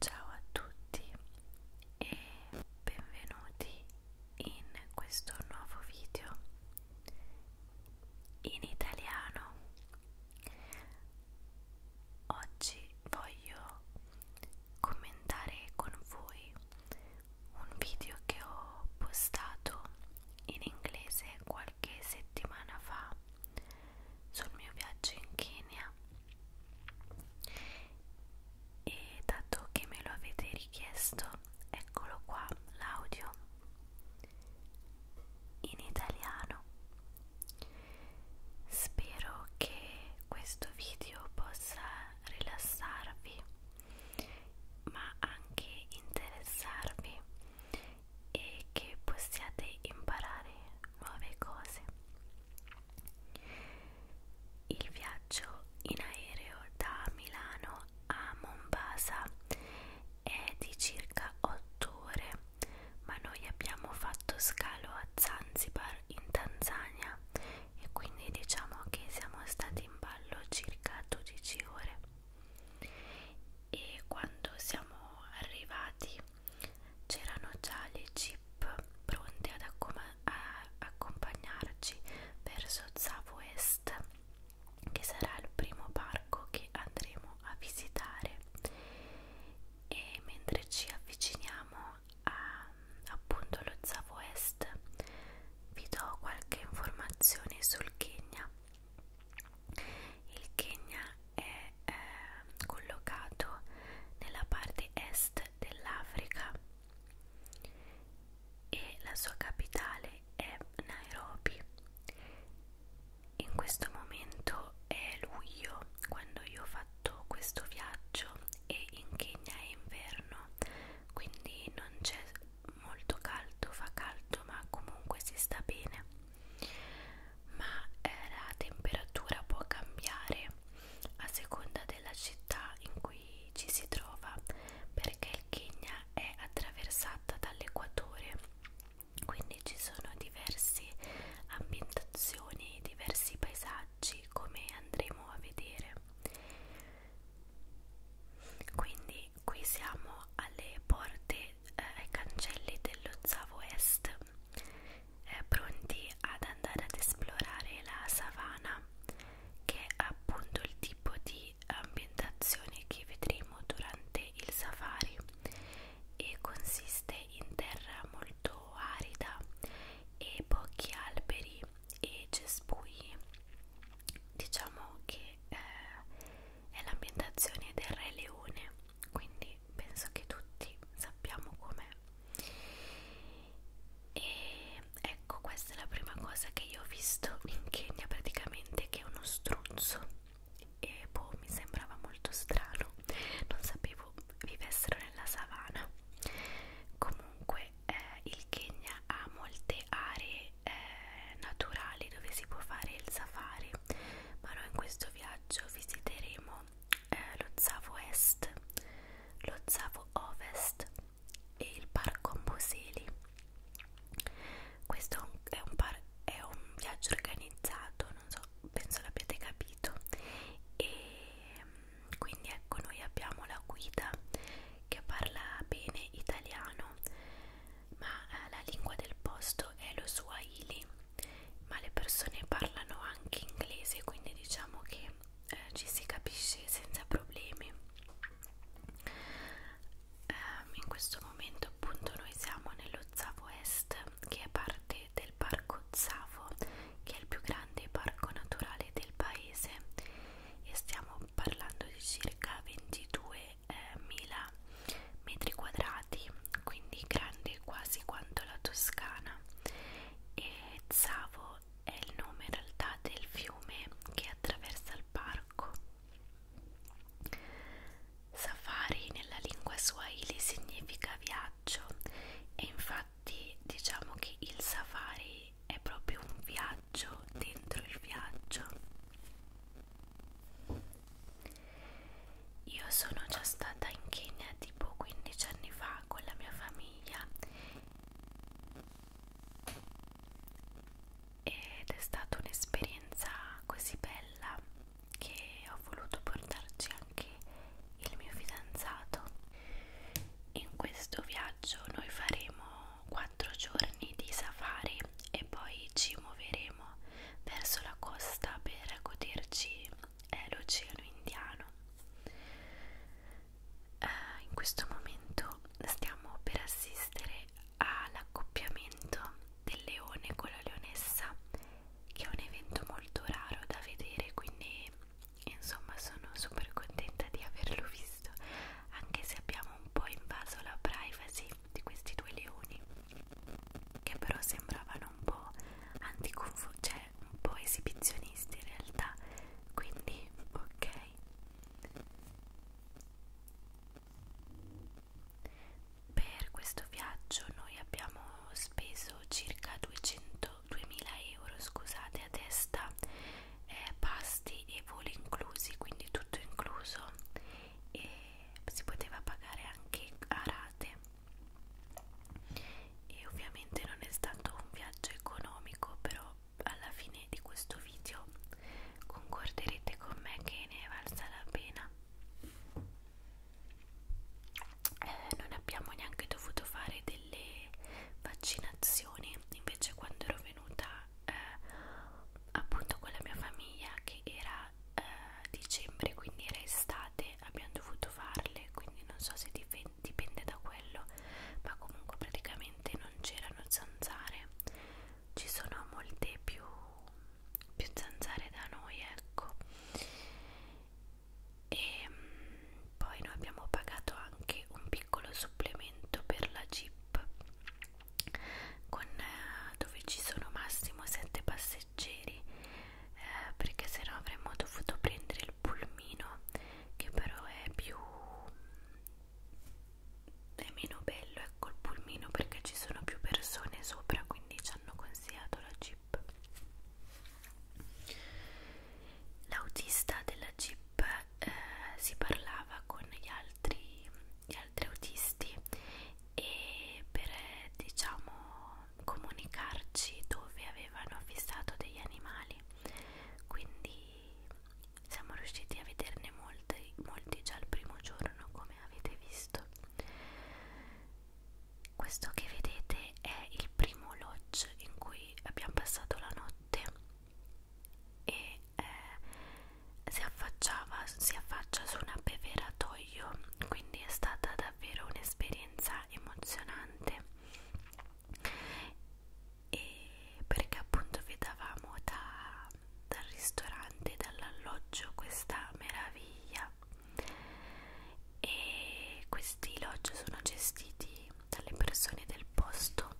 Ciao a tutti e benvenuti in questo nuovo video in italiano. Oggi voglio commentare con voi un video che ho postato in inglese qualche settimana fa sul mio viaggio in Kenya e dato che me lo avete richiesto eccolo qua l'audio in italiano spero che questo video possa rilassarvi ma anche interessarvi e che possiate imparare nuove cose il viaggio in aereo da Milano a Mombasa è di circa 8 ore, ma noi abbiamo fatto scalo a Zanzibar in Tanzania e quindi diciamo che siamo stati in ballo circa 12 ore. E quando siamo arrivati C'erano già le jeep pronte ad accompagnarci verso Zavo Est, che sarà il primo parco che andremo a visitare. E mentre ci avviciniamo a appunto lo Zavo Est, vi do qualche informazione sul Kenya. Il Kenya è eh, collocato nella parte est dell'Africa e la sua capitale è Nairobi. In questo momento è luglio quando io ho fatto questo viaggio e in Kenya è inverno, quindi non c'è molto caldo, fa caldo ma comunque si sta bene ma eh, la temperatura può cambiare a seconda della città in cui ci si trova perché il Kenya è attraversata dall'equatore quindi ci sono diverse ambientazioni diversi paesaggi come andremo a vedere quindi qui siamo alle porte eh, ai cancelli dell'Ozzavo Est eh, pronti ad andare ad esplorare la savana che è appunto il tipo di ambientazione che vedremo durante il safari e consiste in terra molto arida e pochi alberi e cespugli diciamo che eh, è l'ambientazione del Re Leone quindi penso che tutti sappiamo com'è e ecco questa è la prima cosa che io ho visto in Kenya praticamente che è uno struzzo e boh mi sembrava molto strano non sapevo vivessero nella savana comunque eh, il Kenya ha molte aree eh, naturali dove si può fare il safari ma noi in questo viaggio visiteremo eh, lo Zavo Est, lo Zavo Ovest e il Parco Amboseli. Questo è un, par è un viaggio organizzato, non so, penso l'abbiate capito. E mm, quindi ecco, noi abbiamo la guida che parla bene italiano, ma eh, la lingua del posto è lo Swahili ma le persone parlano anche inglese quindi diciamo che eh, ci si capisce senza problemi um, in questo momento appunto noi siamo nello Zavo Est che è parte del parco Zavo che è il più grande parco naturale del paese e stiamo parlando di circa 22.000 eh, metri quadrati quindi grande quasi quanto la Toscana e Zavo è il nome in realtà del fiume che attraversa il parco. Safari nella lingua swahili significa viaggio e infatti diciamo che il safari è proprio un viaggio dentro il viaggio. Io sono già stata in Kenya tipo 15 anni fa con la mia famiglia ed è stata un'esperienza così bella che ho voluto portarci anche il mio fidanzato. In questo viaggio noi faremo 4 giorni di safari e poi ci muoveremo verso la costa per goderci è l'Oceano Indiano. Eh, in questo momento stiamo per assistere all'accoppiamento del leone con la leonessa, che è un evento molto raro da vedere, quindi insomma sono super contenta di averlo visto, anche se abbiamo un po' invaso la privacy di questi due leoni che però sembravano un po' anticonfusione, cioè un po' esibizionisti in realtà, quindi ok. Per questo viaggio noi abbiamo speso circa 200, 2000 euro scusate, a testa, eh, pasti e voli inclusi, quindi tutto incluso e si poteva pagare anche a rate e ovviamente non è stato un viaggio economico però alla fine di questo video concorderete con me che ne è valsa la pena eh, non abbiamo neanche dovuto fare delle vaccinazioni invece quando ero venuta eh, appunto con la mia famiglia che era eh, dicembre quindi era estate abbiamo dovuto farle quindi non so se dipende da quello ma comunque praticamente non c'erano zanzare ci sono molte più, più zanzare da noi ecco e ehm, poi noi abbiamo pagato anche un piccolo supplemento per la jeep con, eh, dove ci sono massimo 7 passeggeri eh, perché sennò avremmo dovuto prendere il pulmino che però è più è meno bello ecco il pulmino perché ci sono più persone sopra quindi ci hanno consigliato la jeep l'autista della jeep eh, si parlava con gli altri gli altri autisti e per eh, diciamo comunicarci dove avevano fissato degli animali quindi siamo riusciti a vederne molti, molti già il primo giorno come avete visto questo che vedete è il primo lodge in cui abbiamo passato la notte e eh, si affacciava si affaccia su un abbeveratoio luglio quindi è stata davvero un'esperienza emozionante e perché appunto vedavamo da, dal ristorante dall'alloggio questa meraviglia e questi lodge sono gestiti dalle persone del posto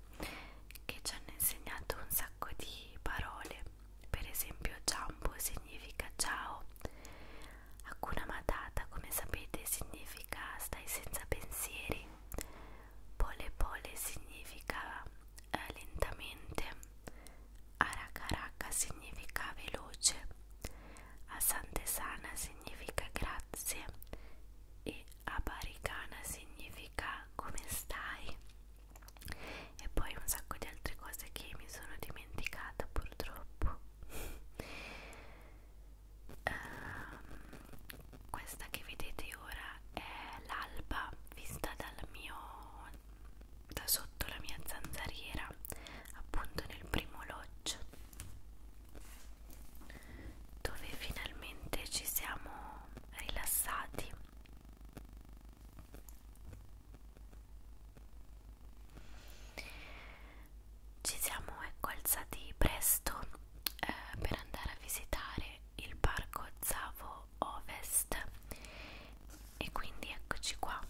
che ci hanno insegnato un sacco di parole per esempio Jambu significa ciao. Hakuna Matata, come sapete, significa stai senza pensieri. Pole pole significa eh, lentamente. Arakaraka significa veloce. Asantesana significa grazie. E Abaricana significa come stai. E poi un sacco di altre cose che mi sono dimenticata dimenticata purtroppo um, questa che vedete ora è l'alba vista dal mio da sotto la mia zanzariera appunto nel primo lodge dove finalmente ci siamo rilassati ci siamo ecco alzati presto eh, per andare a visitare il parco Zavo Ovest e quindi eccoci qua.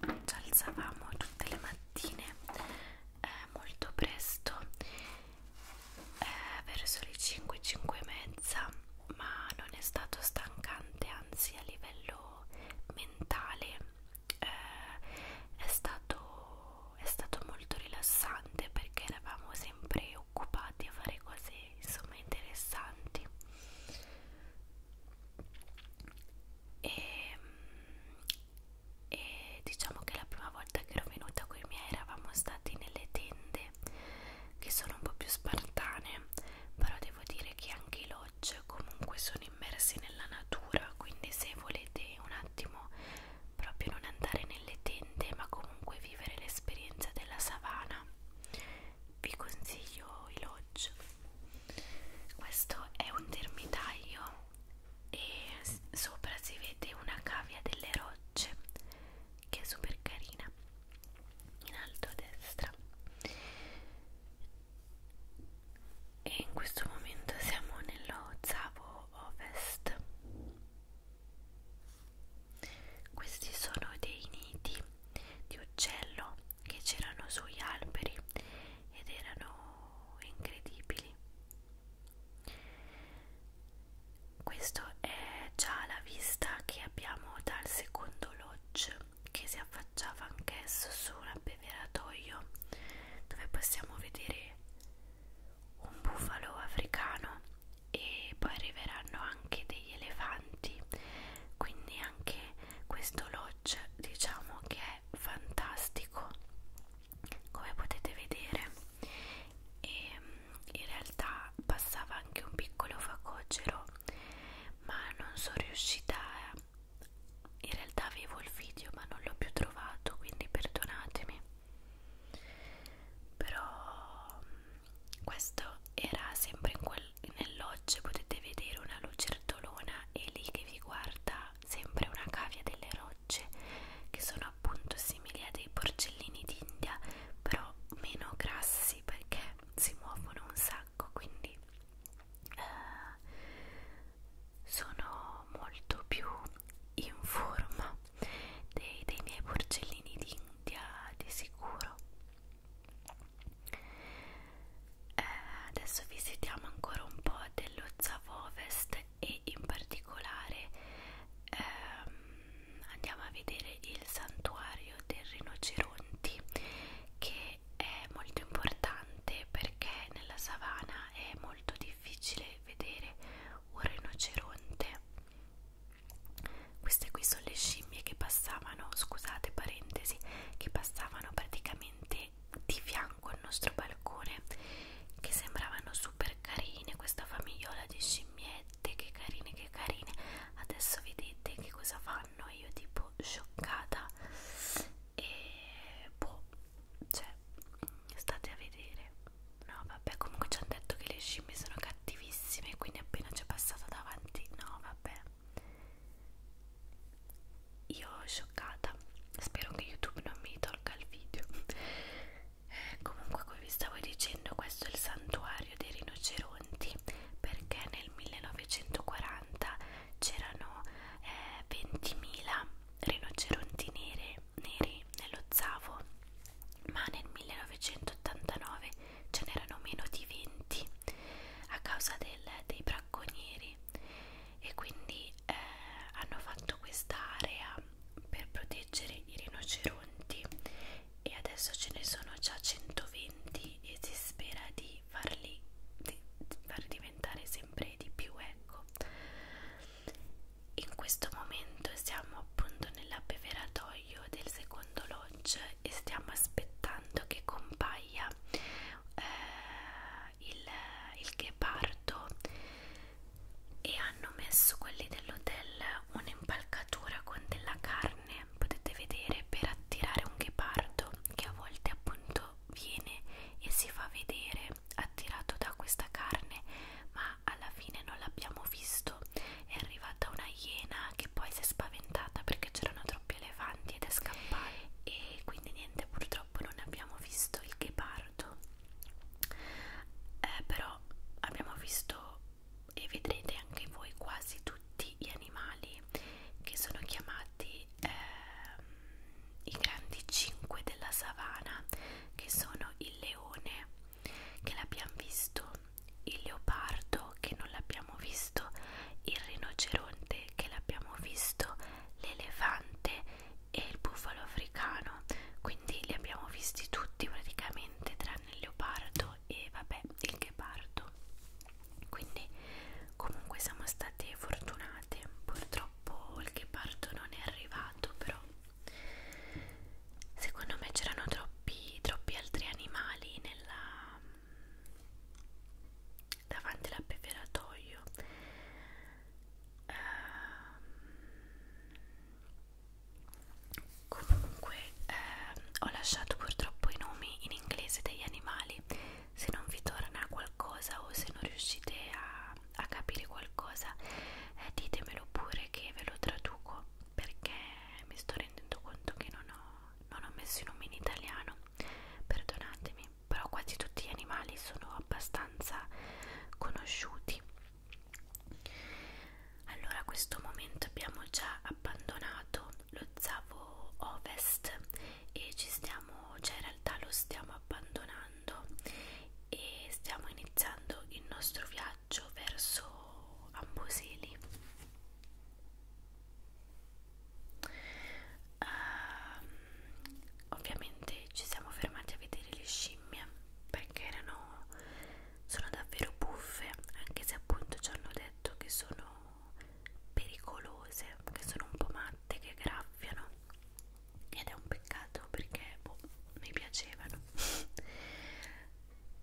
Ci alzavamo tutte le mattine eh, molto presto eh, verso le 5, 5 e mezza ma non è stato stancante anzi a livello mentale eh, è, stato, è stato molto rilassante perché eravamo sempre occupati a fare cose insomma interessanti e, e diciamo che la prima volta che ero venuta con i miei eravamo stati nelle tende che sono un po' più spartane però devo dire che anche loro watch comunque sono immersi nella natura quindi se volete un attimo proprio non andare nelle tende ma comunque vivere l'esperienza della savana vi consiglio i lodge questo è un termitaio e sopra si vede una cavia delle rocce che è super carina in alto a destra e in questo momento siamo nello Zavo Ovest questi sono dei nidi di uccello che c'erano sugli alberi ed erano incredibili questo è già la vista che abbiamo dal secondo lodge che si affacciava anch'esso su un abbeveratoio dove possiamo vedere un bufalo africano e poi arriveranno anche degli elefanti quindi anche questo lodge diciamo che è fantastico come potete vedere e mm, in realtà passava anche un piccolo facocero ma non sono riuscita a... in realtà avevo il video ma non l'ho più trovato quindi perdonatemi però mm, questo era sempre nell'oggi potete vedere una lucertolona e lì che vi guarda sempre una cavia delle rocce che sono appunto simili a dei porcellini d'India però meno grassi perché si muovono un sacco ecco quindi eh, sono molto più in forma dei, dei miei porcellini d'India di sicuro eh, adesso visitiamo ancora un po' dello Zavo Ovest e in particolare ehm, andiamo a vedere il santuario del rinoceronti che che è molto importante perché nella savana è molto difficile vedere un rinoceronte. Queste qui sono le scimmie che passavano, scusate parentesi, che passavano praticamente di fianco al nostro balcone, che sembravano super carine, questa famigliola di scimmiette, che carine, che carine. Adesso vedete che cosa fa fanno io tipo scioccata e boh cioè state a vedere no vabbè comunque ci hanno detto che le scimmie sono cattivissime quindi appena c'è passata davanti no vabbè io scioccata spero che youtube non mi tolga il video eh, comunque come vi stavo dicendo questo è il santuario dei rinoceronti perché nel 1940 80 c'erano eh, 20.000 rinoceronti nere, neri nello Zavo, ma nel 1989 ce n'erano meno di 20 a causa del, dei bracconieri e quindi eh, hanno fatto questa area per proteggere i rinoceronti e adesso ce ne sono già 120 e si spera di di farli di, di far diventare sempre di più ecco in questo momento siamo appunto nell'abbeveratoio del secondo lodge e stiamo aspettando che compaia eh, il, il ghepardo e hanno messo quelli dell'hotel un'impalcatura con della carne carne potete vedere per attirare un ghepardo che a volte appunto viene e si fa vedere attirato da questa carne ma alla fine non l'abbiamo visto è arrivata una iena che poi si è spaventata perché c'erano troppi elefanti ed è scappata e quindi niente purtroppo non abbiamo visto il ghepardo eh, però abbiamo visto e vedrete anche voi quasi tutti gli animali che sono chiamati eh, i grandi cinque della savana che sono il leone che l'abbiamo visto il leopardo che non l'abbiamo visto il rinoceronte che l'abbiamo visto l'elefante e il bufalo africano quindi li abbiamo visti tutti praticamente tranne il leopardo e vabbè il ghepardo quindi comunque siamo state fortunate purtroppo il ghepardo non è arrivato però secondo me c'erano troppi troppi altri animali nella davanti all'abbeveratoio uh, ehm, comunque eh, ho lasciato purtroppo i nomi in inglese degli animali se non vi torna qualcosa o se non riuscite a, a capire qualcosa eh, ditemelo pure che ve lo traduco perché mi sto rendendo conto che non ho, non ho messo i nomi in italiano perdonatemi però quasi tutti gli animali sono abbastanza conosciuti allora a questo momento abbiamo già abbandonato lo Zavo Ovest e ci stiamo, cioè in realtà lo stiamo abbandonando e stiamo iniziando il nostro viaggio verso Amboseli. Um, ovviamente ci siamo fermati a vedere le scimmie perché erano sono davvero buffe anche se appunto ci hanno detto che sono pericolose che sono un po' matte che graffiano ed è un peccato perché boh, mi piacevano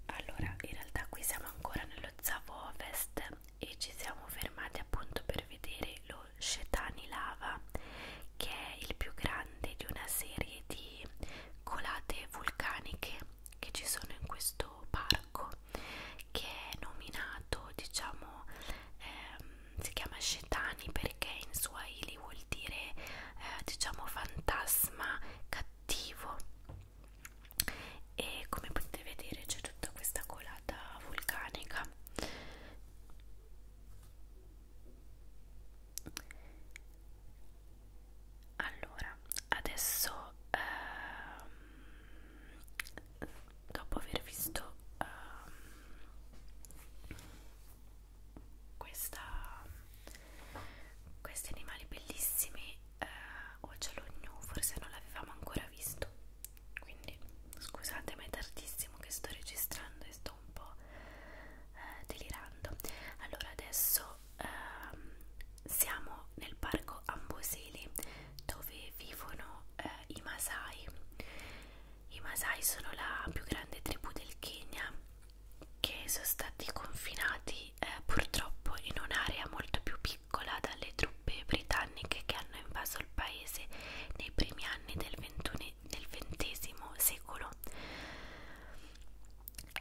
allora in realtà qui siamo ancora nello Zavo Ovest e ci siamo fermati appunto per vedere lo Shetani Lava che è il più grande di una serie di colate vulcaniche che ci sono in questo parco che è nominato diciamo ehm, si chiama Shetani perché in Swahili vuol dire eh, diciamo fantasma cattivo e come potete vedere c'è tutta questa colata vulcanica allora adesso ehm, dopo aver visto ehm, questa, questi animali bellissimi eh, Ocello New forse non l'avevamo ancora visto quindi scusate ma è tardissimo che sto registrando e sto un po' eh, delirando allora adesso ehm, siamo nel parco Amboseli dove vivono eh, i Masai. I Masai sono la più grande tribù del Kenya che sono stati confinati eh, purtroppo in un'area molto più piccola dalle truppe britanniche che hanno invaso il paese nei primi anni del, del XX secolo.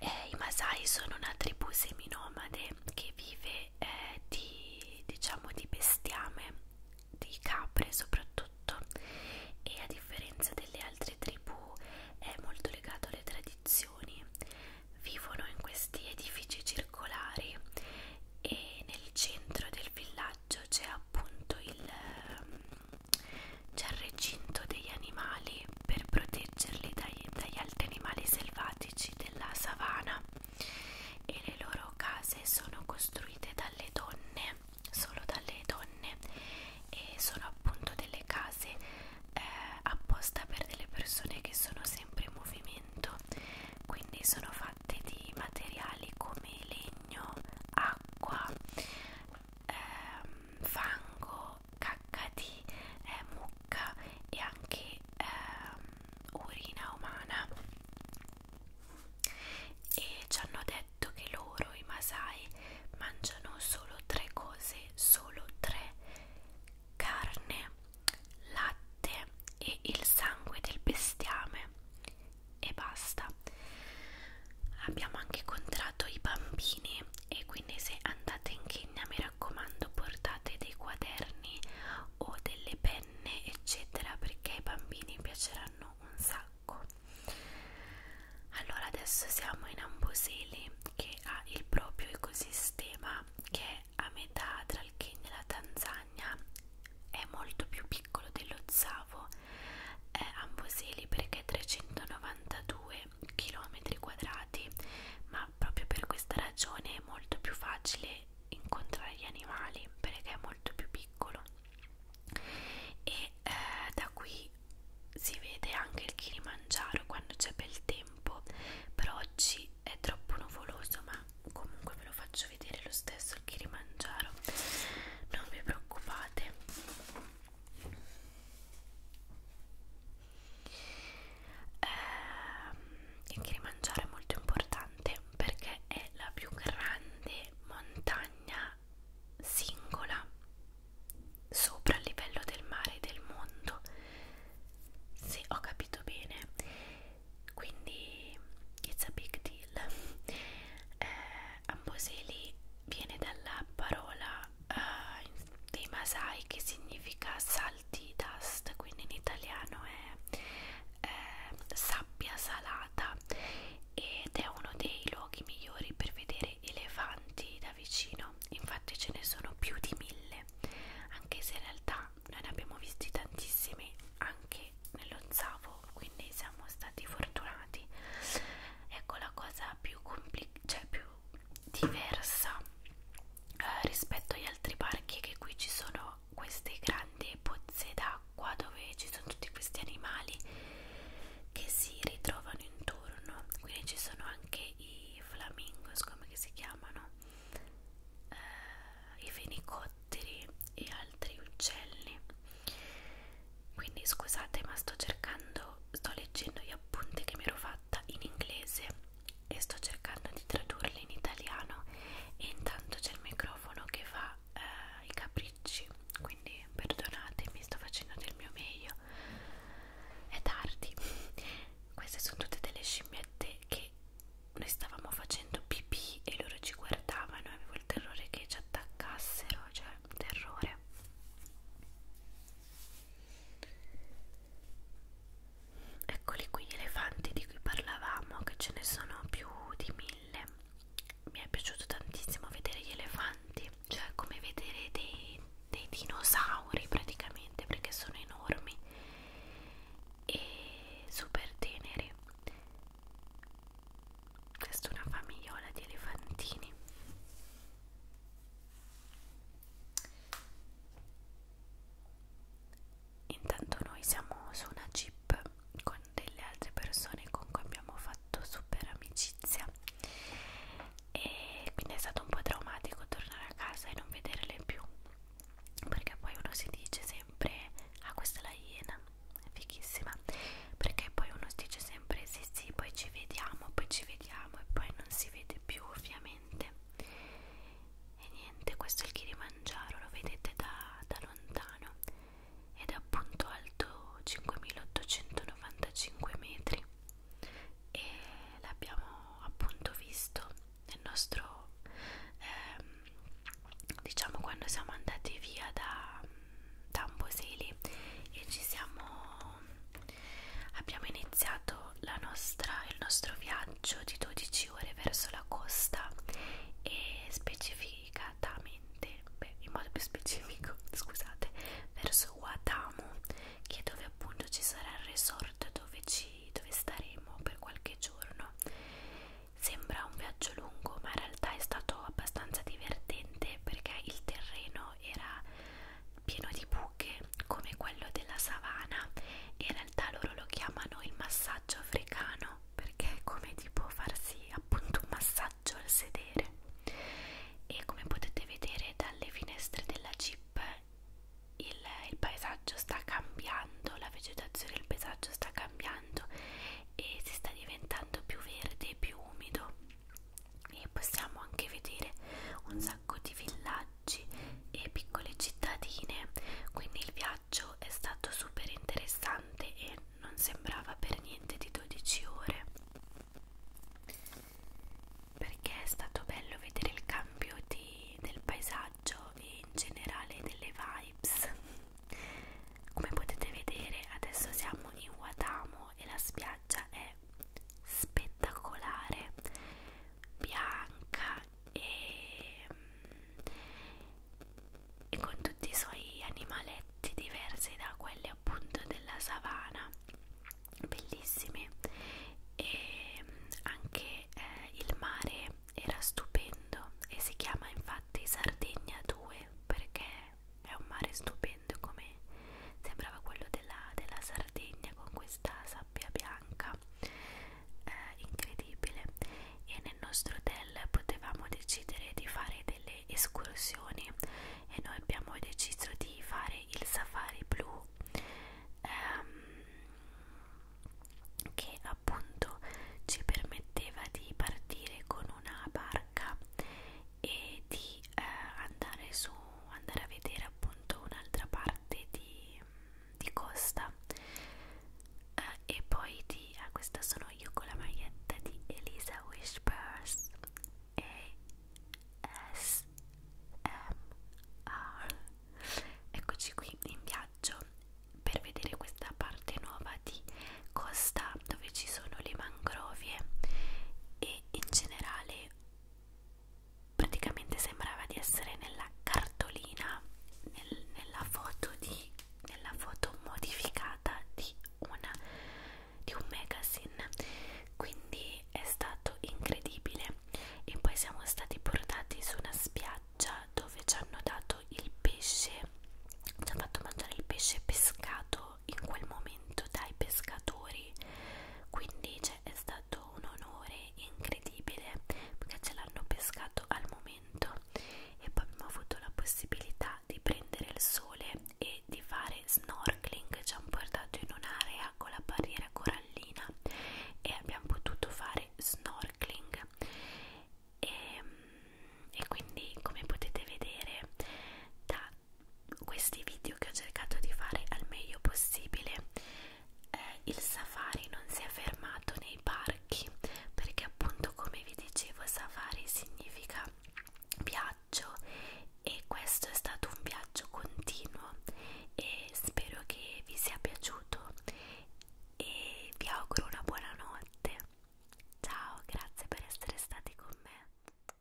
Eh, I Masai sono una tribù seminomade che vive eh, di, diciamo di bestiame, di capre soprattutto e a differenza delle altre tribù è molto legato alle tradizioni vivono in questi edifici circolari e nel centro del villaggio c'è appunto il, ehm, il recinto degli animali per proteggere proteggerli dai, dagli altri animali selvatici della savana e le loro case sono costruite dalle donne, solo dalle donne e sono appunto delle case eh, apposta per delle persone che sono sempre in movimento, quindi sono fatte di materiali come legno, acqua, ehm, fango cacca di eh, mucca e anche eh, urina umana e ci hanno detto che loro i Masai mangiano solo tre cose solo tre carne latte e il sangue del bestiame e basta abbiamo anche incontrato i bambini e quindi se andate in Kenya mi raccomando portate dei quaderni o delle penne eccetera perché ai bambini piaceranno un sacco allora adesso siamo in Amboseli che ha il proprio ecosistema che è a metà tra il Kenya e la Tanzania è molto più piccolo dello Zavo è Amboseli perché è 392 km quadrati ma ma proprio per questa ragione è molto più facile incontrare gli animali perché è molto più piccolo e eh, da qui si vede anche il Kilimangiaro quando c'è bel tempo però oggi è troppo nuvoloso ma comunque ve lo faccio vedere lo stesso il Kilimangiaro non vi preoccupate eh, anche rimangiare è molto importante perché è la più grande montagna singola sopra il livello del mare del mondo se ho capito bene quindi it's a big deal eh, Amboseli viene dalla parola uh, in dei Masai che significa salty dust, quindi in italiano è eh, sabbia salata ed è uno dei luoghi migliori per vedere elefanti da vicino, infatti ce ne sono più di mille, anche se in realtà noi ne abbiamo visti tantissimi anche nello Zavo, quindi siamo stati fortunati. Ecco la cosa più, cioè più diversa eh, rispetto agli altri parchi che qui ci sono queste grandi pozze d'acqua dove ci sono tutti questi animali che si ritrovano intorno quindi ci sono anche i flamingos come che si chiamano eh, i fenicotteri e altri uccelli quindi scusate ma sto cercando sto leggendo gli appunti che mi ero fatta in inglese e sto cercando di tradurle in italiano e intanto c'è il microfono che fa eh, i capricci quindi perdonatemi sto facendo del mio meglio è tardi queste sono tutte delle scimmiette che noi stavamo facendo pipì e loro ci guardavano avevo il terrore che ci attaccassero cioè terrore Eccoli qui gli elefanti di cui parlavamo, che ce ne sono più di mille. Mi è piaciuto tantissimo vedere gli elefanti, cioè come vedere dei, dei dinosauri praticamente, perché sono enormi e super teneri. Questa è una famigliola di elefantini. Intanto noi siamo su una jeep con delle altre persone con cui abbiamo fatto super amicizia e quindi è stato un po' traumatico tornare a casa e non vederle più perché poi uno si dice sempre ah questa è la iena, è fighissima perché poi uno si dice sempre sì sì poi ci vediamo, poi ci vediamo e poi non si vede più ovviamente veramente e niente questo è il Kilimangiaro lo vedete da, da lontano ed è appunto alto 5895 metri e l'abbiamo appunto visto nel nostro ehm, diciamo quando siamo andati via da, da Amboseli e ci siamo Abbiamo iniziato la nostra, il nostro viaggio di 12 ore verso la costa e specificatamente, beh, in modo più specifico, scusate, verso Watamu, che è dove appunto ci sarà il resort dove, ci, dove staremo per qualche giorno. Sembra un viaggio lungo, ma in realtà è stato abbastanza divertente perché il terreno era pieno di buche come quello della savana in realtà loro lo chiamano il massaggio africano perché è come tipo farsi appunto un massaggio al sedere e come potete vedere dalle finestre della jeep il, il paesaggio sta cambiando la vegetazione del paesaggio sta cambiando e si sta diventando più verde più umido e possiamo anche vedere un sacco di villaggi villaggi e piccole cittadine, quindi il viaggio è stato super interessante e non sembrava per niente di 12 ore. Perché è stato bello vedere il cambio di, del paesaggio e in generale delle vibes. Come potete vedere adesso siamo in Watamo e la spiaggia è spettacolare bianca e, e con tutti i suoi animaletti diversi da quelli appunto della savana bellissimi e anche eh, il mare era stupendo e si chiama infatti Sardegna 2 perché è un mare stupendo come sembrava quello della, della Sardegna con questa sabbia bianca bianca eh, incredibile e nel nostro hotel potevamo decidere di fare delle escursioni e noi abbiamo deciso di fare il safari blu ehm, che appunto ci permetteva di partire con una barca e di eh, andare su andare a vedere appunto un'altra barca parte di, di costa eh, e poi di ah, questa sono io con la maglietta di Elisa Whispers e S M R eccoci qui in viaggio per vedere questa parte nuova di costa dove ci sono le mangrovie e in generale praticamente sembrava di essere nella cartolina nel, nella, foto di, nella foto modificata di, una, di un magazine quindi è stato incredibile e poi siamo stati portati su una spiaggia dove ci hanno dato il pesce ci hanno fatto mangiare il pesce pescato in quel momento dai pescatori quindi invece è stato un onore incredibile perché ce l'hanno pescato al momento e poi abbiamo avuto la possibilità di prendere il sole e di fare snorkeling ci hanno portato in un'area con la barriera corallina e abbiamo potuto fare snorkeling e, ehm, e quindi come potete vedere da questi video che ho cercato di fare al meglio possibile eh, il safari non si è fermato nei parchi perché appunto come vi dicevo safari significa viaggio e questo è stato un viaggio continuo e spero che vi sia piaciuto e vi auguro una buona notte ciao grazie per essere stati con me